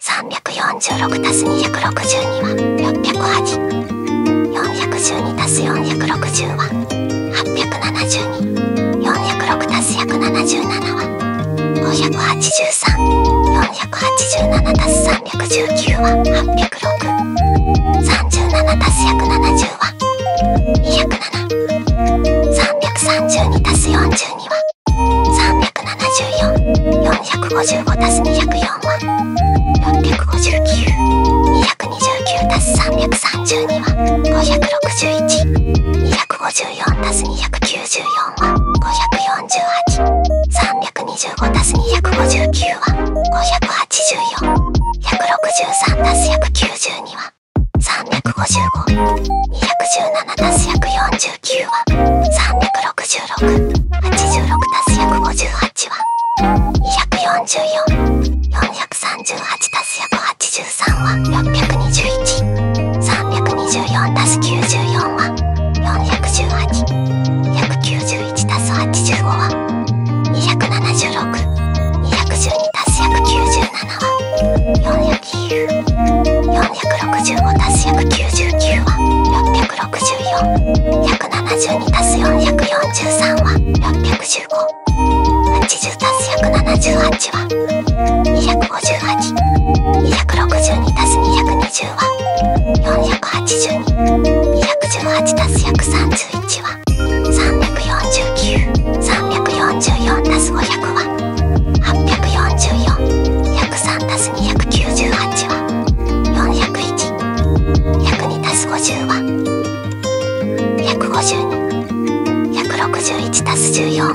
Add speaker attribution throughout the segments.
Speaker 1: 346たす262は608 412たす460は872 406たす177は583 487たす319は806 37たす170は207 332たす42は374、455たす204は、6。5 9 229たす332は、561、254たす294は、548、325たす259は、584、163たす192は、355、217たす140 159は366 86+158 は2444 438+183 は621 324+94 は418 191+85 は276 212+197 は400 165足す約99は464172足す443は61580足す178は258262足す220は482218足す131は349344足す500は844 103+298 は 40112+50 0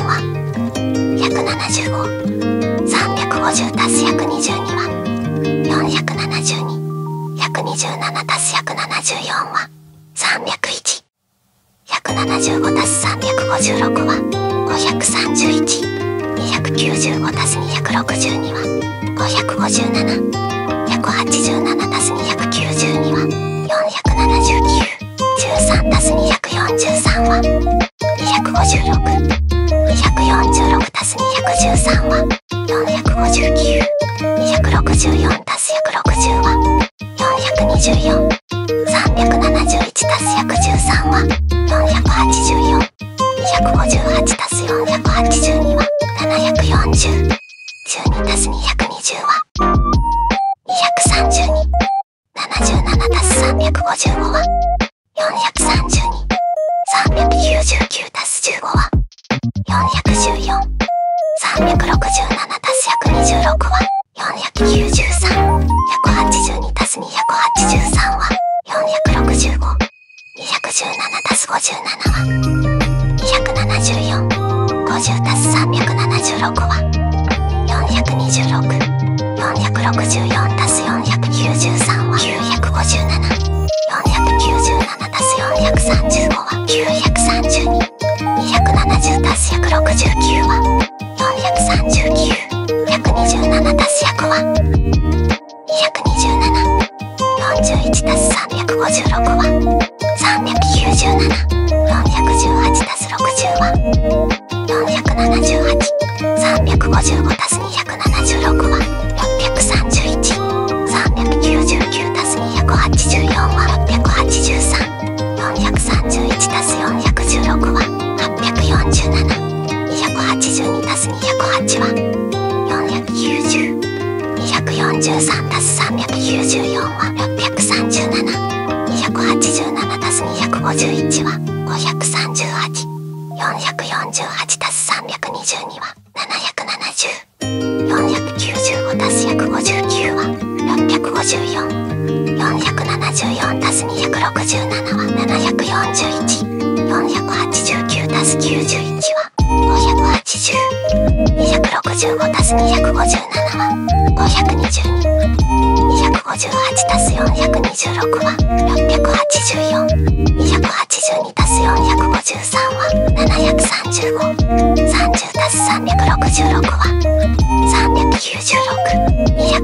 Speaker 1: は 152161+14 は 175350+122 は 472127+174 は 301175+3 356は531295たす262は557187たす292は47913たす243は256246たす213は459264たす160は424370 1たす113は484。258たす482は740。12たす220は232。77たす355は432。399たす15は414。367たす126は493。182たすす283は465。217たす57は274。50たす376は426。464たす493は957。497たす435は932。270たす169は439。127足す100は227。41足す356は397。418足す60は478。355足す276は631。399足す284は683。431足す416は。842たす208は490 243たす394は637287たす251は538448たす322は7704995たす159は654474たす二す267は一。四百八十九たす九十一は五百八十。二百六十五たす二百五十七は五百二十二。二百五十八たす四百二十六は六百八十四。二百八十二たす四百五十三は七百三十五。三十たす三百六十六は三百396。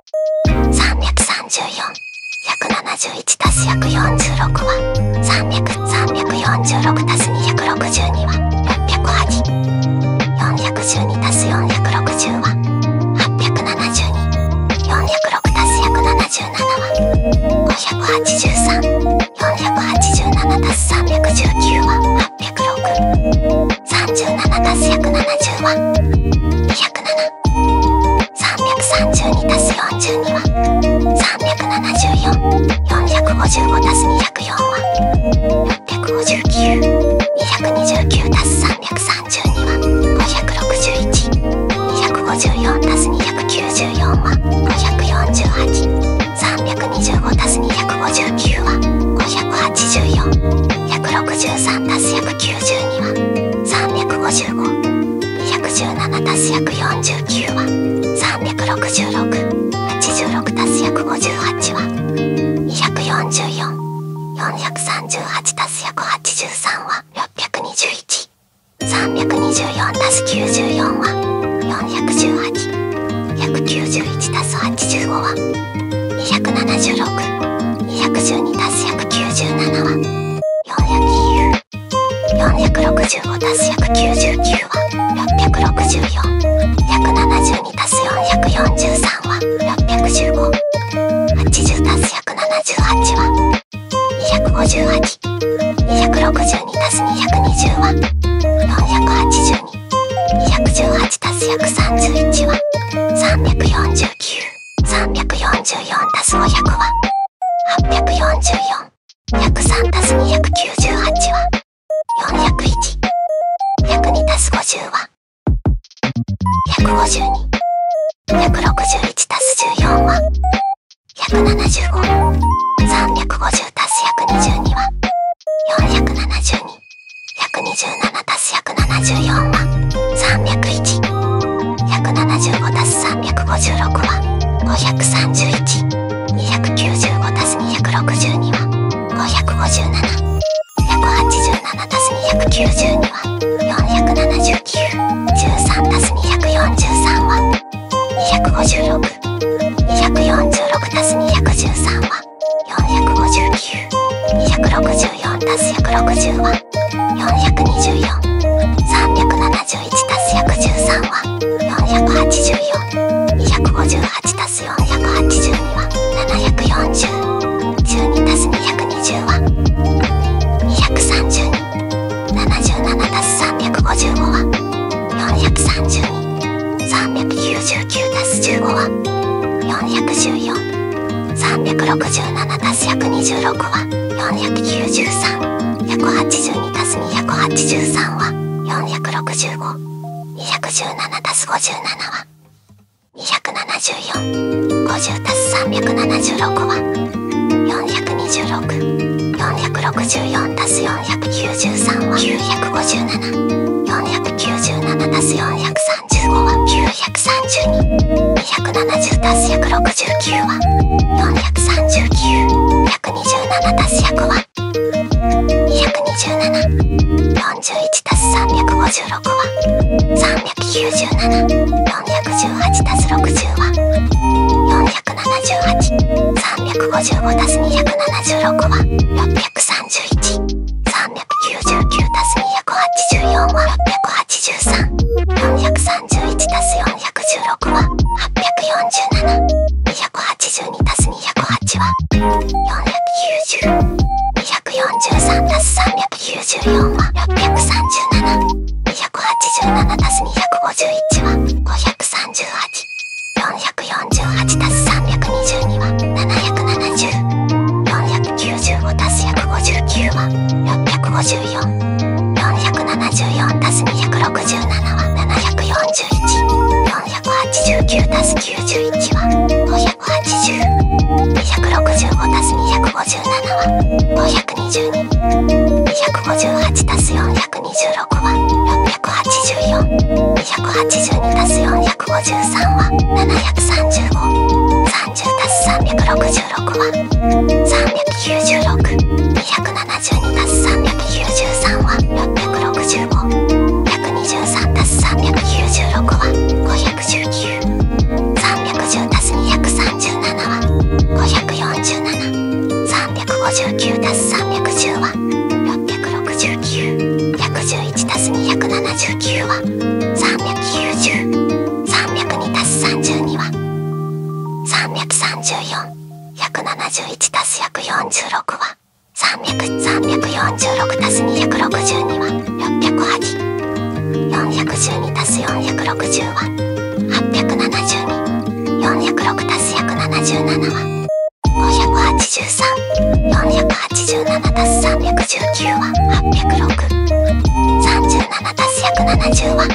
Speaker 1: 334。171足す約46は300。346足す262は608。412足す460は872。406足す177は583。487足す319は806。37足す170は207。332たす42は374455たす204は65929たす332は561254たす294は548325たす259は584163たす192は355 217たす約49は36686たす約58は244438たす約83は621324たす94は418191たす85は276212たす197は。465 4足す199は664。172足す443は615。80足す178は258。262足す220は482。218足す131は349。344+500 は844。103たす298は401。102たす50は152。161たす14は175。350たす122は472。127たす174は301。175たす356は531295たす262は557 187たす292は47913たす243は256246たす213は459264たす160は 424,371+113 は 484,258+482 は740 12+220 は232 77+355 は432 399+15 は414 367たす126は493 182たす283は465217たす57は27450たす376は426464たす493は957497たす435は9 132 170たす169は439 127たす100は227 41たす356は397 418たす60は478 355たす276は631 399たす284は683 430 31たす416は847282たす208は490243たす394は637287たす251は538448たす322は770。495たす159は650 474たす267は741489たす91は580265たす257は522258たす426は684282たす453は735 ３０ 39063927293は 665123+396 は 519310+237 は 547359+310 は 669111+279 は 390392+32 は。334171たす約46は300346たす262は608 412たす460は872 406たす177は583487たす319は806 37たす170は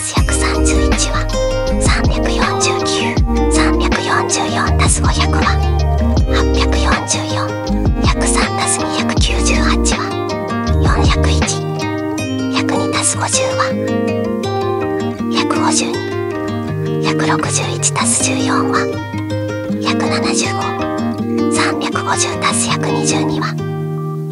Speaker 1: たす約31は349344たす500は844約3たす298は401約2たす50は約52約61たす14は約75350たす122は472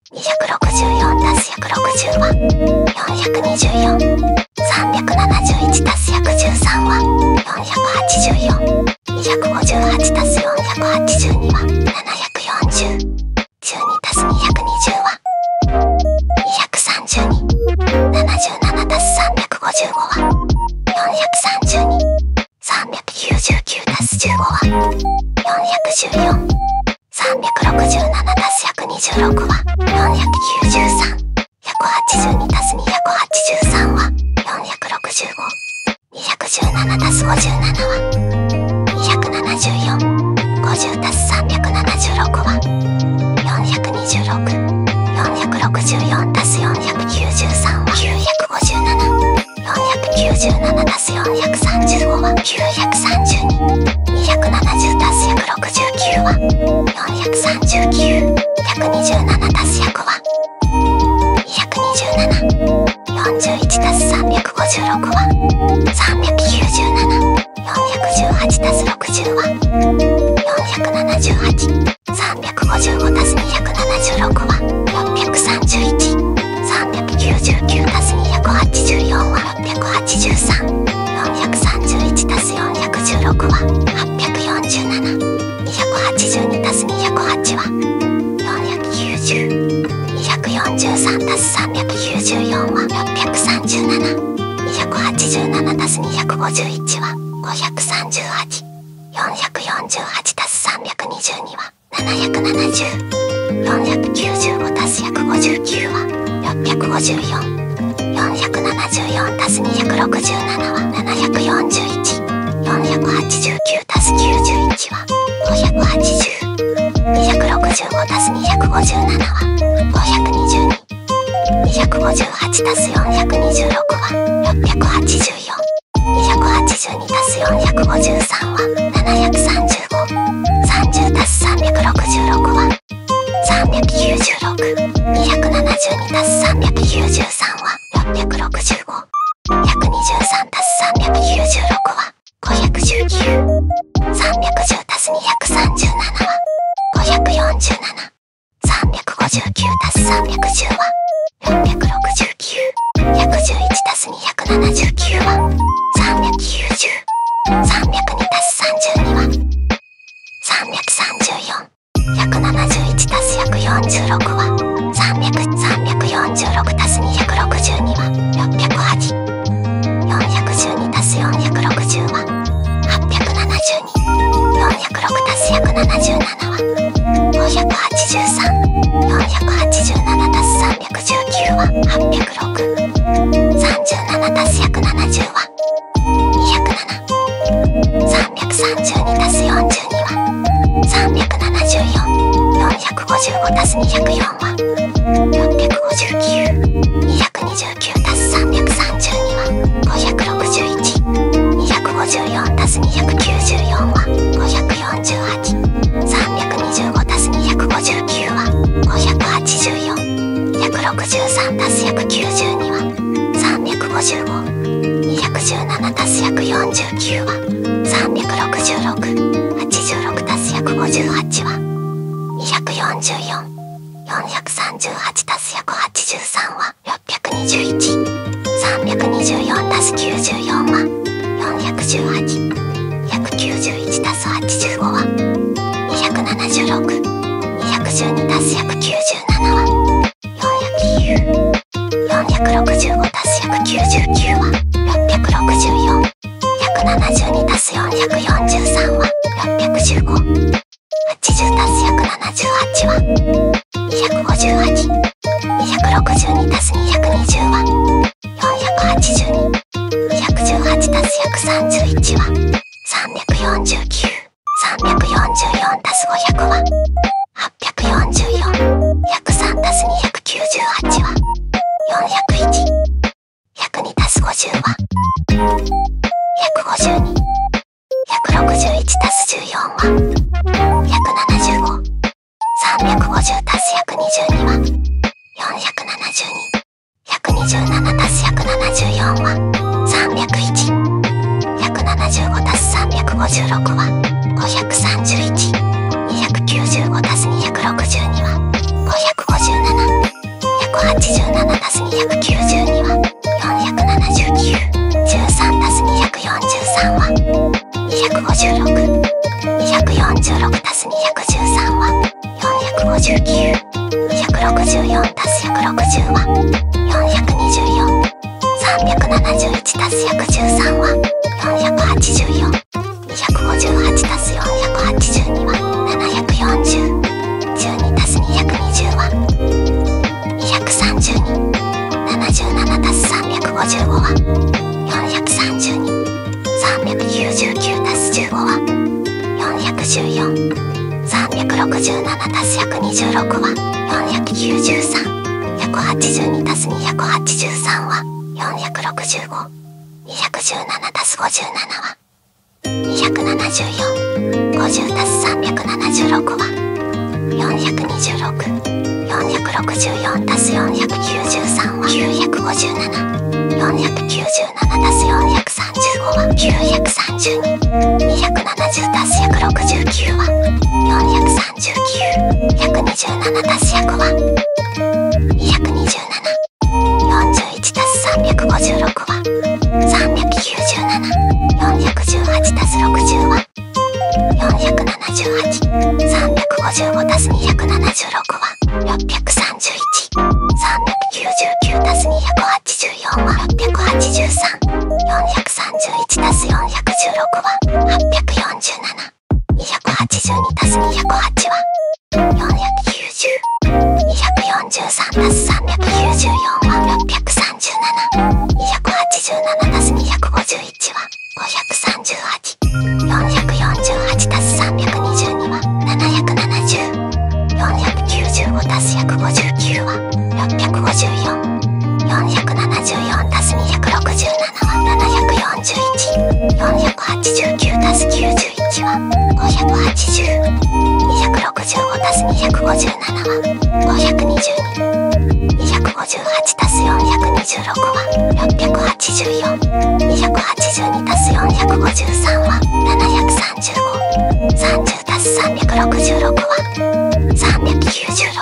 Speaker 1: 264-160は424。371たす113は484。258たす482は740。12たす220は232。77たす355は432。499-15は414 367-126は493 182-283は465 217-57は274 50-376は426 464-493は957 497足す435は932270足す169は439127足す100は22741足す356は397418足す60は478355足す276は631 399たす284は683431たす416は847282たす208は490243たす394は637287たす251は538448たす322は770,495足す159は6 5 4 474足す267は741。489足す91は580。265足す257は522。258足す426は684。282足す453は730。3 0足す366は396272足す393は665123足す396は519310足す237は547359足す310は669 111足す2 279は390302たす32は334171たす146は300346たす262は608412たす460は862406たす177は583 487たす3 319は806 37たす約70は207 332たす42は374 455たす204は659 229たす332は561 254たす294は548 325たす259は584 163たす192は355 217たす149は366 86たす158は244 438たす183は621 324たす94は4191たす85は276212たす197は 400u465 たす199は664172たす443は61580たす178は258262たす220は482 218たす131は349 344たす500は844 103たす298は401 102たす50は152161たす14は175 350たす122は472127たす174は301175たす356は531295たす262は557187たす292は47913たす243は256足す213は459 264足す160は424 371足す113は484 258足す482は740 12足す220は232 77足す355は432 399たす15は414 367たす126は493182たす283は465217たす57は27450たす376は426 464たす493は957 497たす435は932 270たす169は439 127たす100は227 41たす356は397 418たす60は470 378。355足す276は631。399たす284は683。431たす416は847。282たす208は490。243たす394は637。287たす254 1は538 448たす322は770 495たす159は654 474たす267は741 489たす91は580 265たす257は522 258たす426は680 284,282たす453は73530たす366は396,272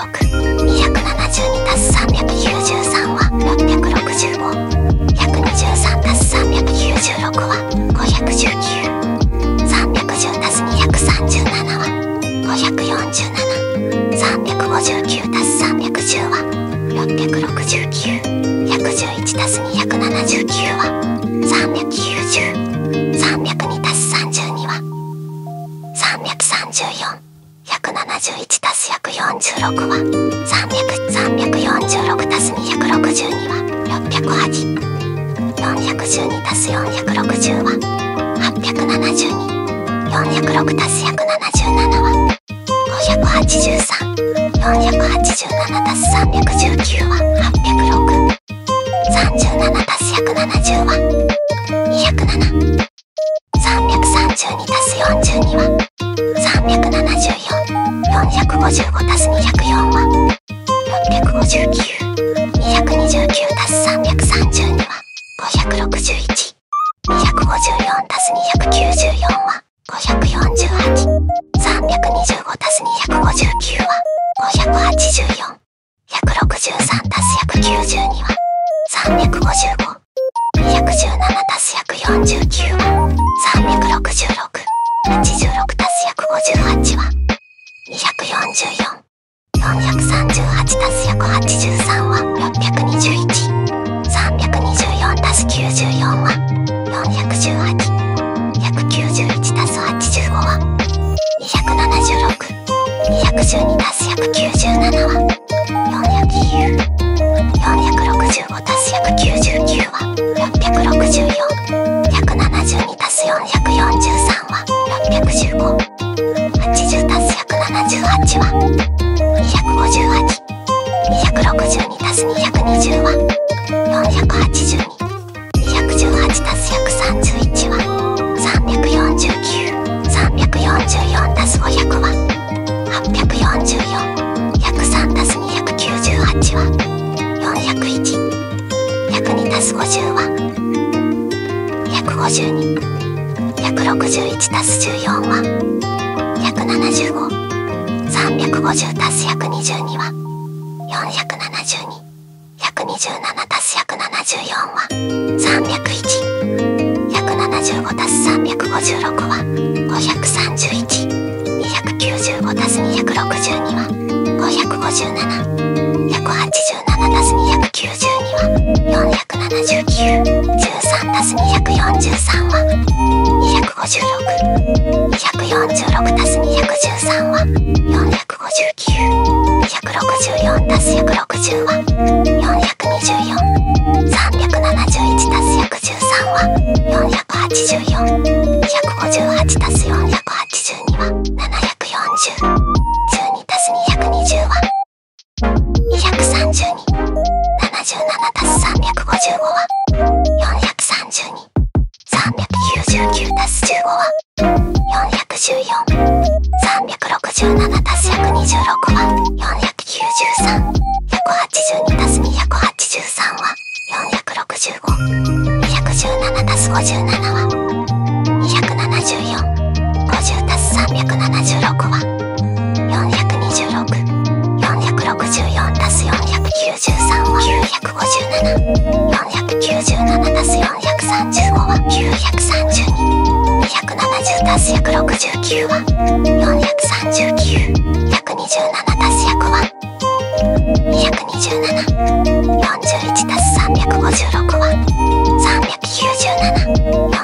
Speaker 1: たす393は665,123たす396は519,310たす237は547,359たす310は669,111たす279は390、302たす32は334,171たす146は300、346たす262は608。412たす460は872。406たす177は583 487足す319は806 37足す170は207 332足す42は374 455足す204は659 229足す332は561 154たす294は548。325たす259は584。163たす192は355。217たす149は366。86たす158は244。438たす183は621。324+94 は 418191+85 は 276212+197 は 400EU465+199 は 664172+443 は615 80+178 は258 262たす220は482。218たす131は349。344たす500は844。103たす298は401。102たす50は152。161 14 175350 122は472127 174は301175 356は531295 262は557 187 292は400 279 13たす243は256246たす213は459264たす160は424371たす113は484158たす482は74012たす220は230に77たす355は430に399たす15は414367たす126は493182たす283は465217たす57は27450たす376は426-464 493は957-497 435は932-270 169は439-127 100は227-41 356は397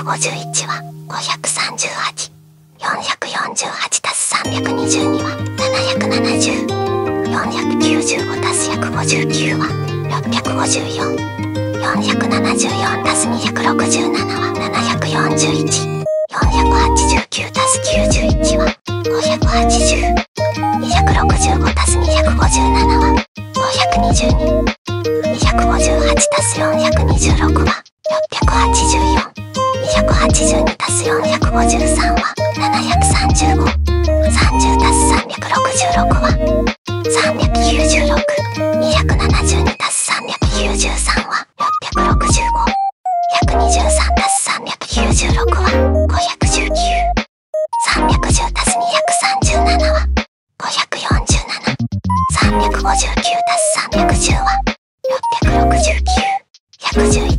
Speaker 1: 451は538。448たす322は770。495たす159は654。474たす267は741。489たす91は580。265たす257は522 258たす426は684 282たす453は735 30たす366は396 272たす393は665 123たす396は519 310たす237は54359たす310は669111足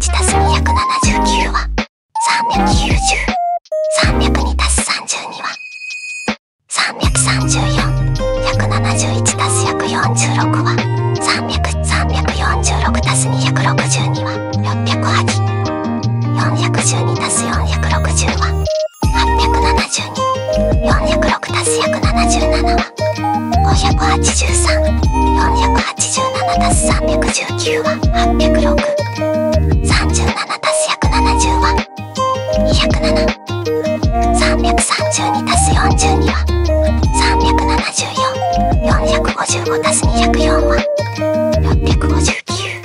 Speaker 1: す279は390302たす32は334171たす146は300346たす262は608 412たす460は872 406足す約77は583 487足す319は806 37足す約70は207 332足す42は374 455足す204は659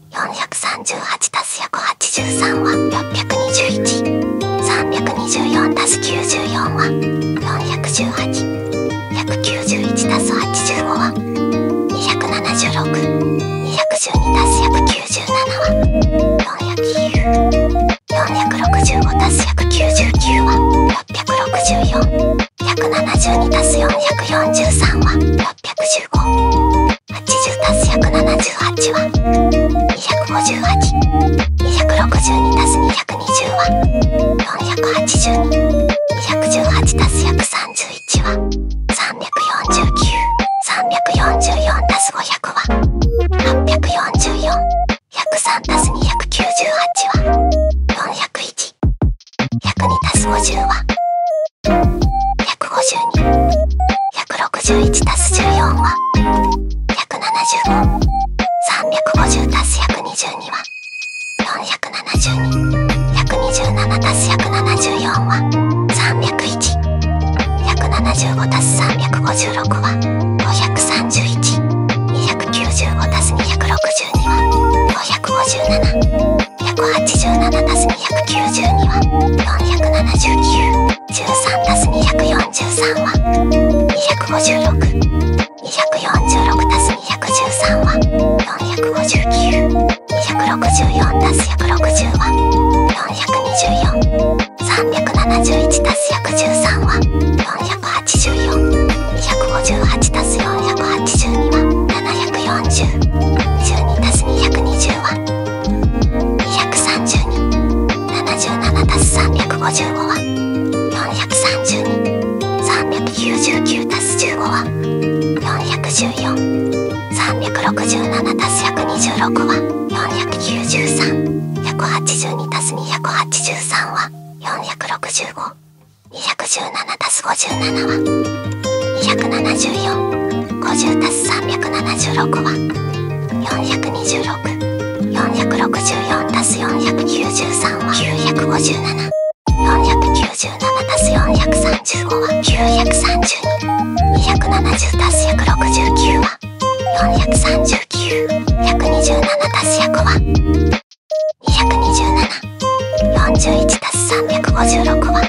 Speaker 1: 438+183 は621324たす94は 418191+85 は276212たす197は400 465たす199は664 172たす443は615 80たす178は258 262たす220は482 218たす131は349 344たす500は844103たす298は401102たす50は15261たす14は175350たす122は472127たす174は301175たす356は531295たす262は557 187足す292は479 13足す243は256 246足す213は459 264足す160は424 371足す113は484 258足す482は740 12足す220は230に77たす355は430に399たす15は414367たす126は493182たす283は465217たす57は274 50たす376は426464たす493は957 497たす435は932270たす169は439127たす100は22741たす356は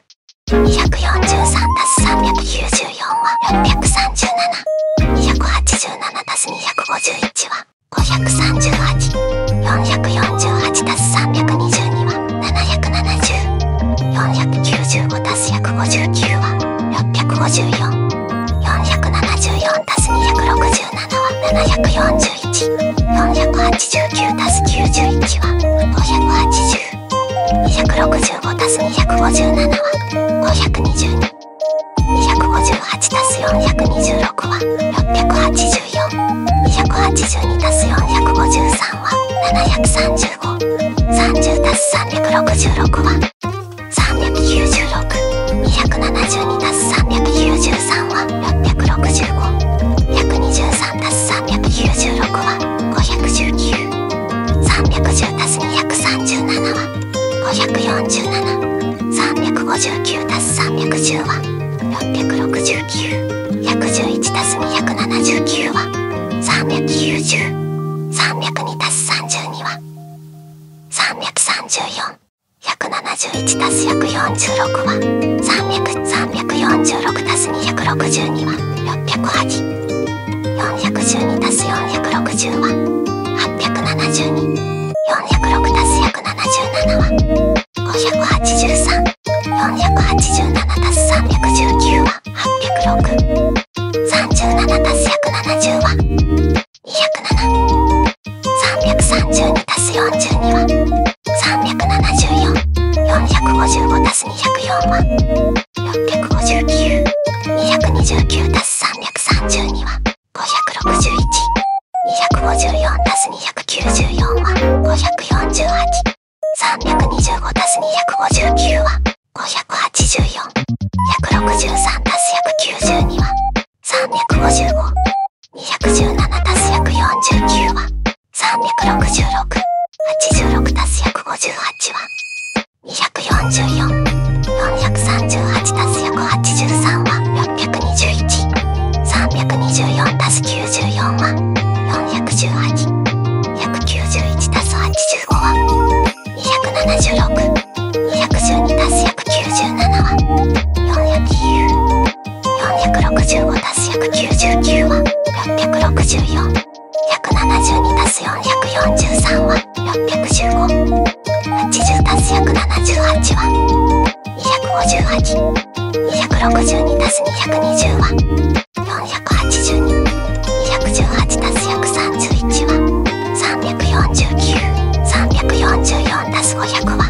Speaker 1: 243たす394は637。287たす251は538。448たす322は770。495たす159は654。474たす267は741。489たす91は580。265たす257は522 258たす426は684 282たす453は735 30たす366は396 272たす393は665 123たす396は519 310たす237は547359たす310は669111たす279は390302たす32は334171たす146は300346たす262は608。410に足す460は872 406足す177は583 487足す319は806 37足す170は207 332足す42は374 455足す204は659 229足す332は561 254足す294は548 325足す259は584 163足す192は355 217足す149は366 86足す158 1は 244438+183 は 621324+94 は 4181+85 9 1は 276212+197 は409 465+199 は664 172たす443は615。80たす178は258。262たす220は482。218たす131は349。344たす500は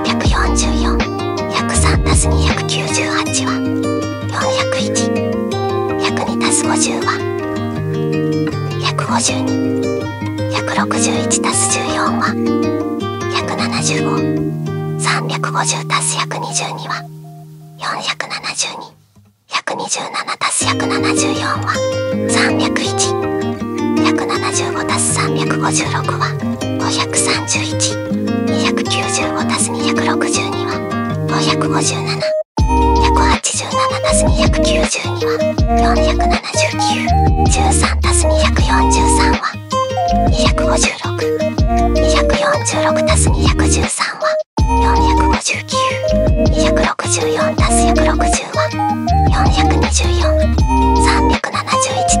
Speaker 1: 844。103たす298は。401100にす50は150に161たす14は175350たす122は472。127たす174は301175たす356は531 290を足す262は557 187足す292は479 13足す243は256 246足す213は459264足す160は424371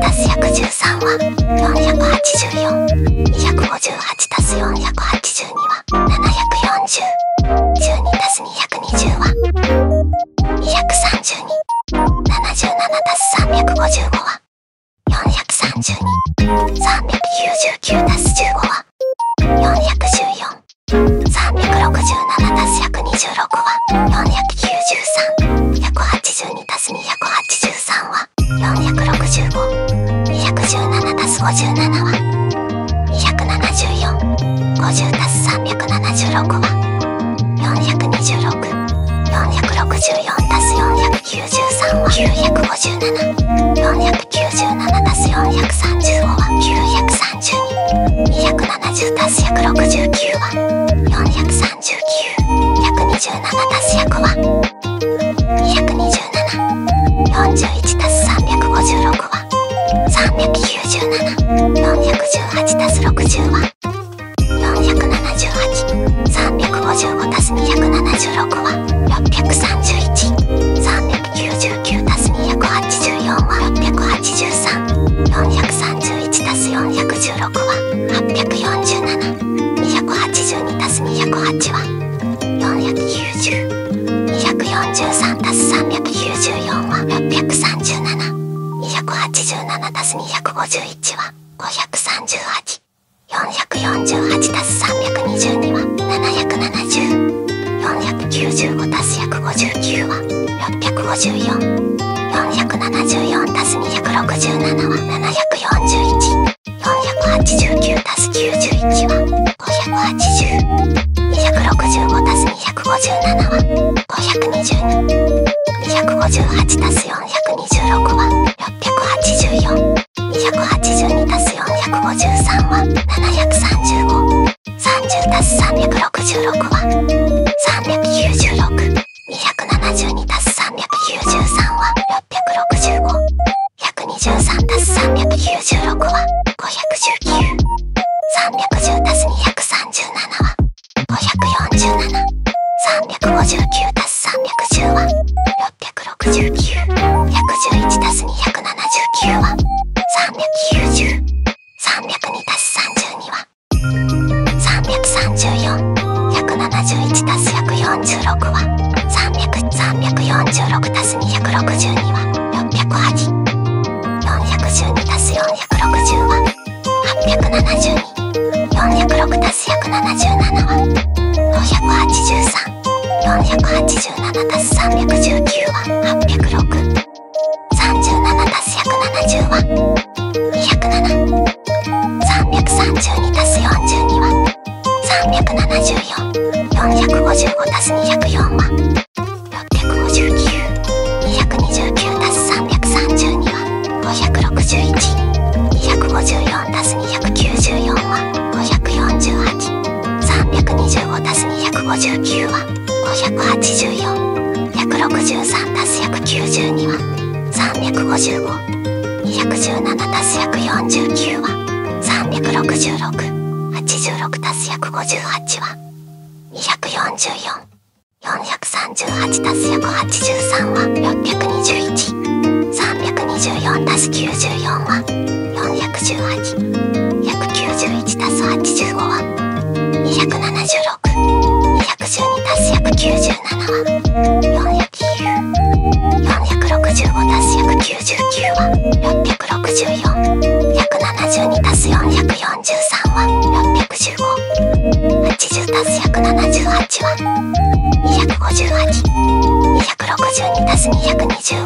Speaker 1: 足す113は484 258足す480 720には740 12たす220は230に77たす355は430に399たす15は414367たす126は493182たす283は465。217たす57は274。50たす376は426。464たす493は957。497たす435は932。270たす169は439。127たす100は22741たす356は397418たす60は478355たす276は631399たす284は683431たす416は847282たす208は490,243たす394は637,287たす251は538。448たす322は770。495たす159は654。474たす267は741。489たす91は580。265たす257は522。258たす426は684。282たす453は735。30たす366は396。272たす393は665。123たす396は519 310たす237は547 359たす310は669 111たす279は390 302たす32は334 171たす140 3 6は300346たす262は608 412たす460は872 406たす177は483487たす319は806 37たす170は207 332たす42は3744554す204は659229足す332は561254足す294は548325足す259は584163足す192は355 217+149 は 36686+158 は 244438+183 は 621324+94 は 418191+85 は 276212+197 は4 8キール6 5足す199は664172足す443は61580足す178は258262足す220は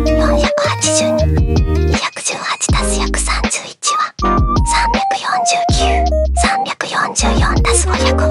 Speaker 1: 482 218足す131は349 344足す500は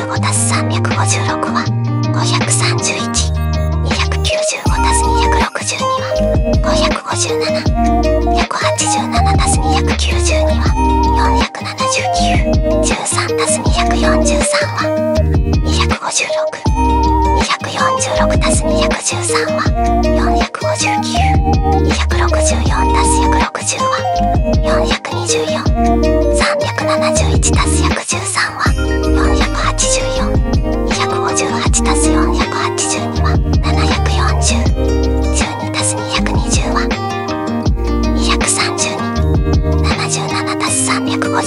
Speaker 1: 255たす356は531。295たす262は557。187たす292は479。13たす243は256。246たす213は459。264たす160は424。371たす110は484 258たす482は740 12たす220は232 77たす355は432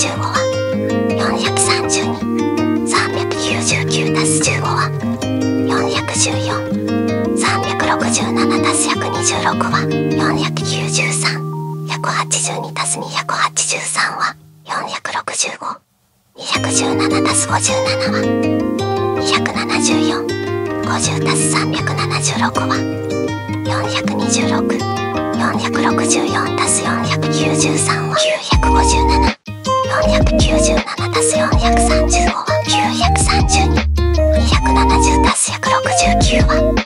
Speaker 1: 399たす15は414 367たす126は493 182たす283は465。217たす57は274。50たす376は426。464たす493は957。497たす435は932。270たす169は439,127たす100は227,41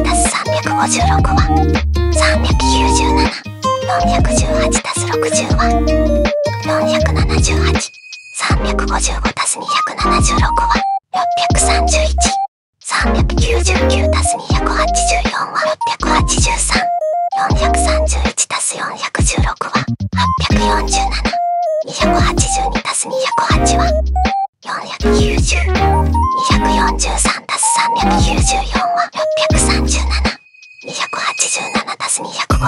Speaker 1: たす356は397,418たす60は478,355たす276は631,399たす284は683,431たす416は847。282足す208は490。243足す394は637。287足す251は538。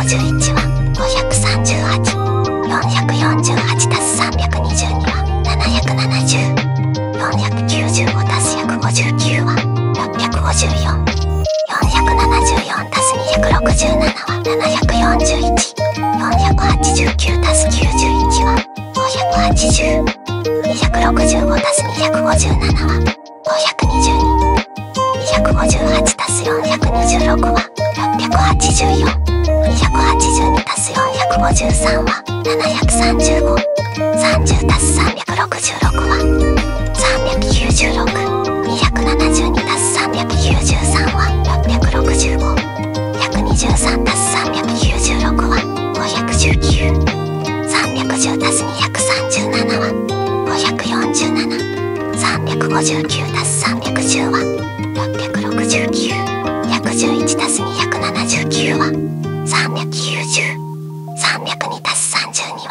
Speaker 1: 448足す322は770。495足す159は654。474足す267は741。489足す91は580。265足す257は522。258足す426は684。282足す453は735。30足す366は3962722たす393は665123たす396は599310たす237は547359たす310は669111たす279は390302たす32は。